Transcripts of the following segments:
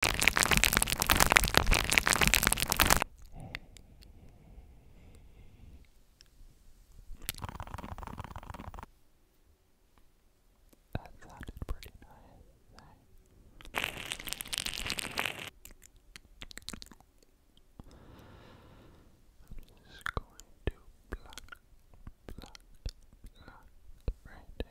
That sounded pretty nice. I'm just going to block, block, block right there.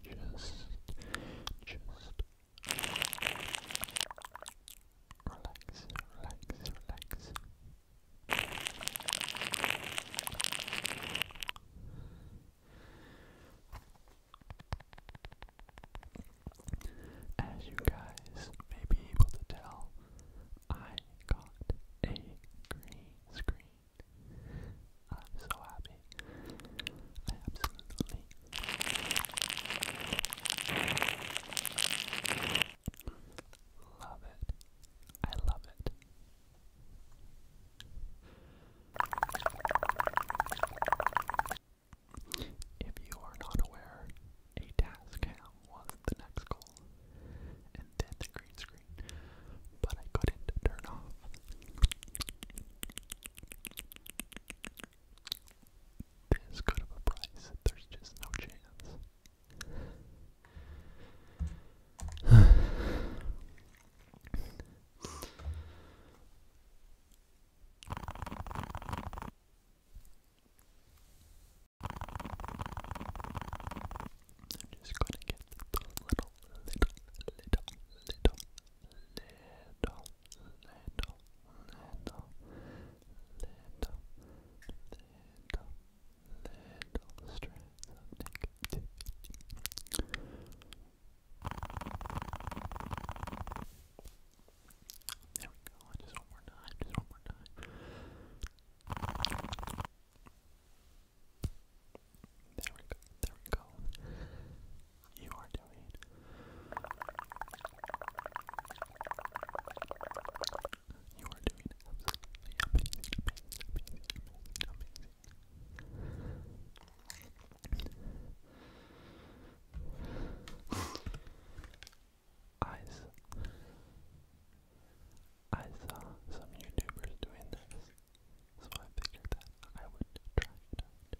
just, just relax, relax, relax. As you guys may be able to tell, I got a green screen I'm so happy. I absolutely love it. I love it. If you are not aware, a task cam was the next goal, and then the green screen, but I couldn't turn off this good of a price. There's just no chance. I'm just gonna get the little, little, little, little, little, little, little, little, little, little strands of negativity. There we go, just one more time, just one more time. There we go. There we go. You are doing You are doing absolutely amazing, amazing, amazing, amazing. I saw, I saw some YouTubers doing this. So I figured that I would try it out.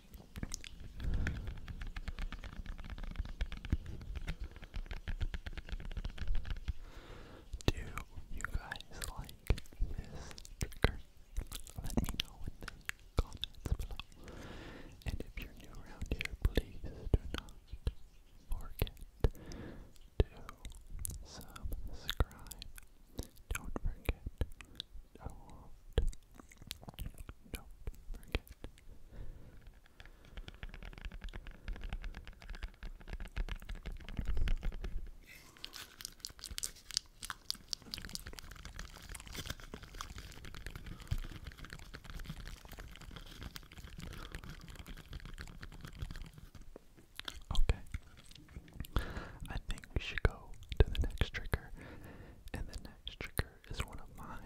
Do you guys like this trigger? Let me know in the comments below. And if you're new around here, please do not forget to subscribe. Don't forget so often. Okay, I think we should go to the next trigger. And the next trigger is one of my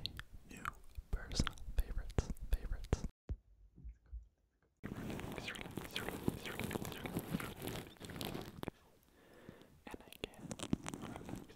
new personal favorites. Favorites. And again, relax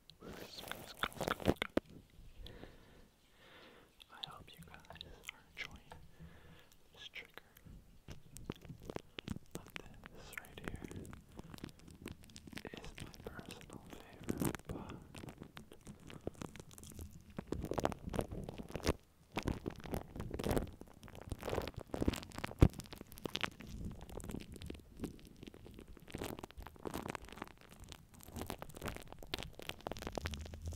I hope you guys are enjoying this trigger of this right here. Is my personal favorite melt your brain with these tingles.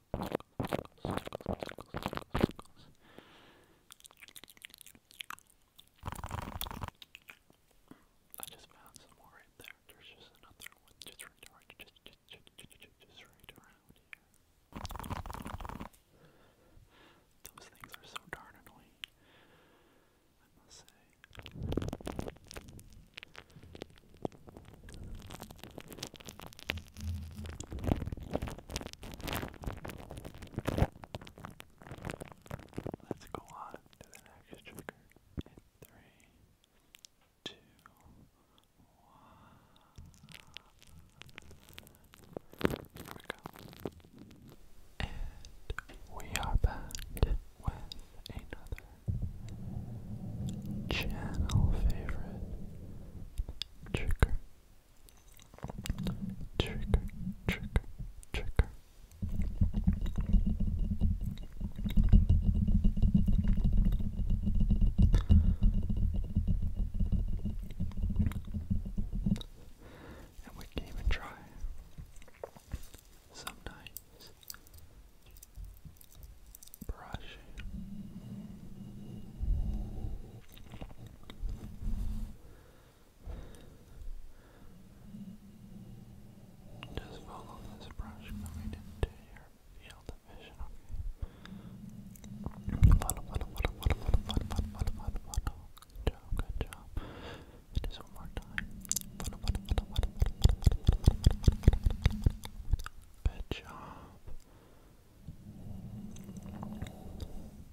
I just found some more right there. There's just another one just right around right, just, just, just, just, just right around here. Those things are so darn annoying. I must say. Let's go on to the next trigger in three, two, one. Here we go. And we are back with another channel favorite trigger trigger trigger trigger and we can even try some brush. Just follow this brush coming into your field of vision, okay? Follow, follow, follow, follow, follow, follow, follow, follow, follow. Good job, good job. Just one more time. Follow, follow, follow, follow, follow, follow, follow, follow, follow, Good job.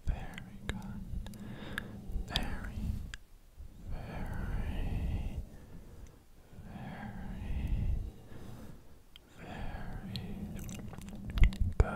Very good. Very, very, very, very good.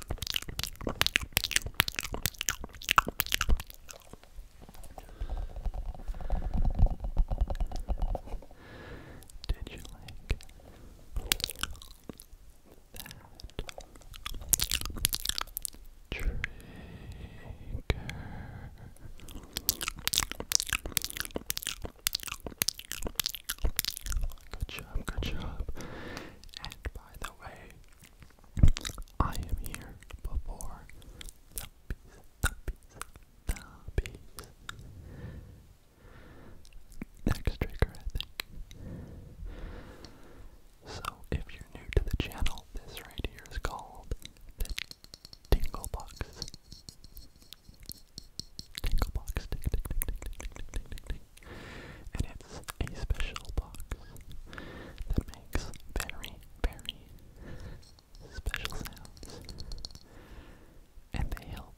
Did you like that trigger? Good job, good job. And by the way, I am here before the bees, the bees, the bees. Next trigger, I think. So, if you're new to the channel, this right here is called the Tingle Box. Tingle Box, tick, tick, tick, tick, tick, tick, tick. And it's a special box that makes very, very special sounds. And they help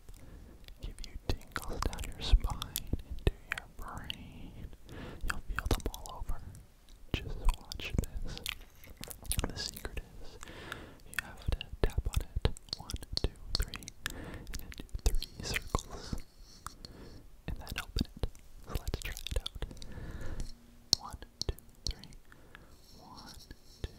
give you tingles down your spine into your brain. You'll feel them all over. Just watch this. The secret is you have to tap on it. One, two, three, and do three circles and then open it. So let's try it out. One, two, three. One, two, three.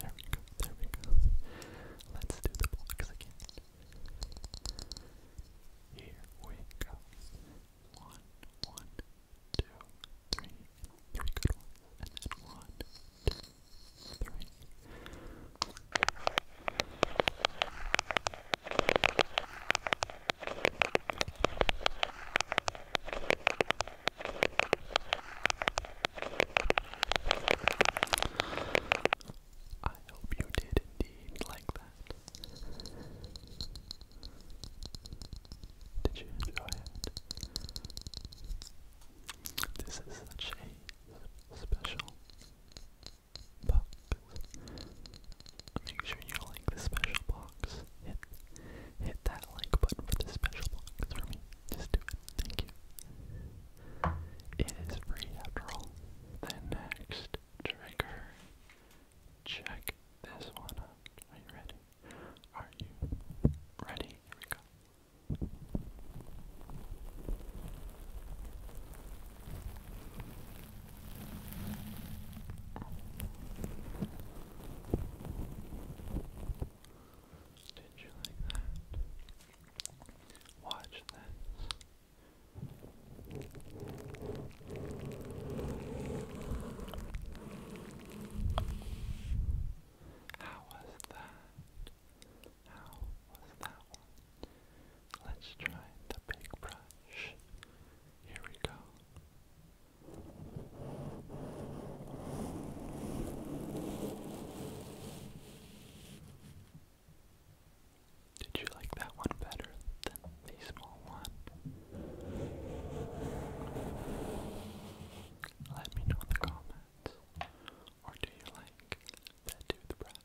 There we go, there we go. Let's do the blocks again. Here we go. One, one, two, three, three good ones, and then one, two, three. I hope you did indeed like that. Did you enjoy it? This is such a special box. Make sure you like the special box. Hit hit that like button for the special box for me. Just do it. Thank you. It is free after all. The next trigger. Check this one out. Are you ready? Are you ready? Here we go. Did you like that? Watch this. How was that? How was that one? Let's try the big brush. Here we go. Did you like that one better than the small one? Let me know in the comments. Or do you like the brush?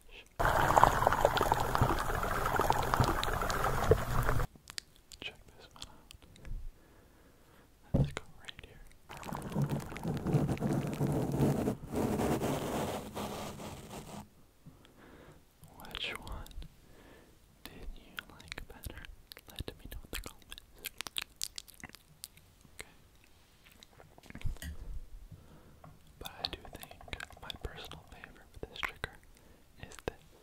Check this one out. Let's go right here. Which one did you like better? Let me know in the comments. Okay. But I do think my personal favorite for this trigger is this.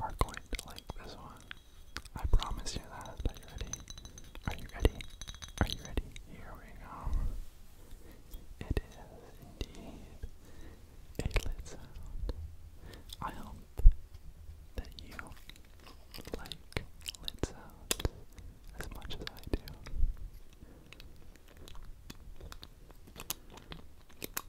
are going to like this one. I promise you that. Are you ready? Are you ready? Are you ready? Here we go. It is indeed a lit sound. I hope that you like lit sounds as much as I do. Just relax. Just relax.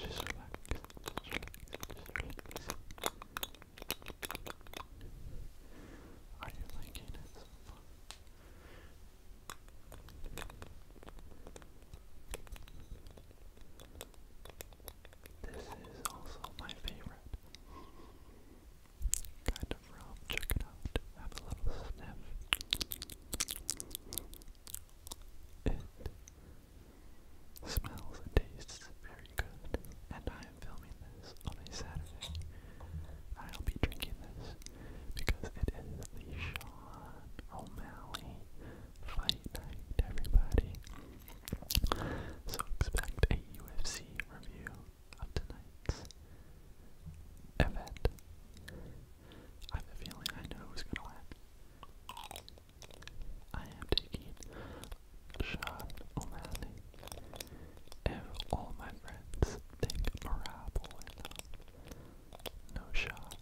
Just relax. Just relax. Are you liking it so far? Are you liking it? This is also my favorite. Kind of rum, check it out. Have a little sniff. It smells and tastes very good, and I am filming this on a Saturday. I'll be drinking this because it is the Sean O'Malley Fight Night, everybody. So expect a UFC review of tonight's event. I have a feeling I know who's gonna win. I am taking Sean O'Malley. If all my friends think Marab win, no shot.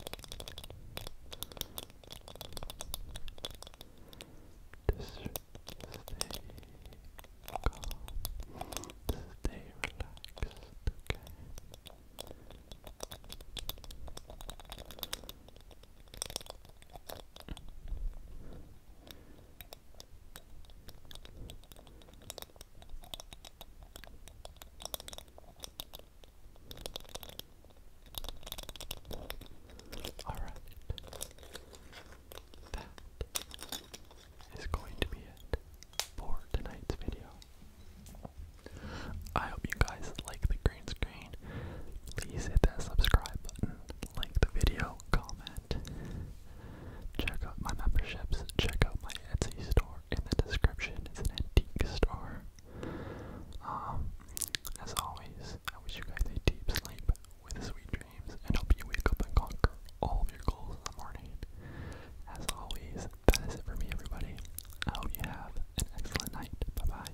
Just stay calm. Stay relaxed, okay? Alright. That is going to be it for tonight's video. I hope you guys like the green screen. Please hit that subscribe button, like the video, comment. Check out my memberships, check out my Etsy store in the description. It's an antique store. Um, as always, I wish you guys a deep sleep with sweet dreams and hope you wake up and conquer all of your goals in the morning. As always, that is it for me, everybody. I hope you have an excellent night. Bye bye.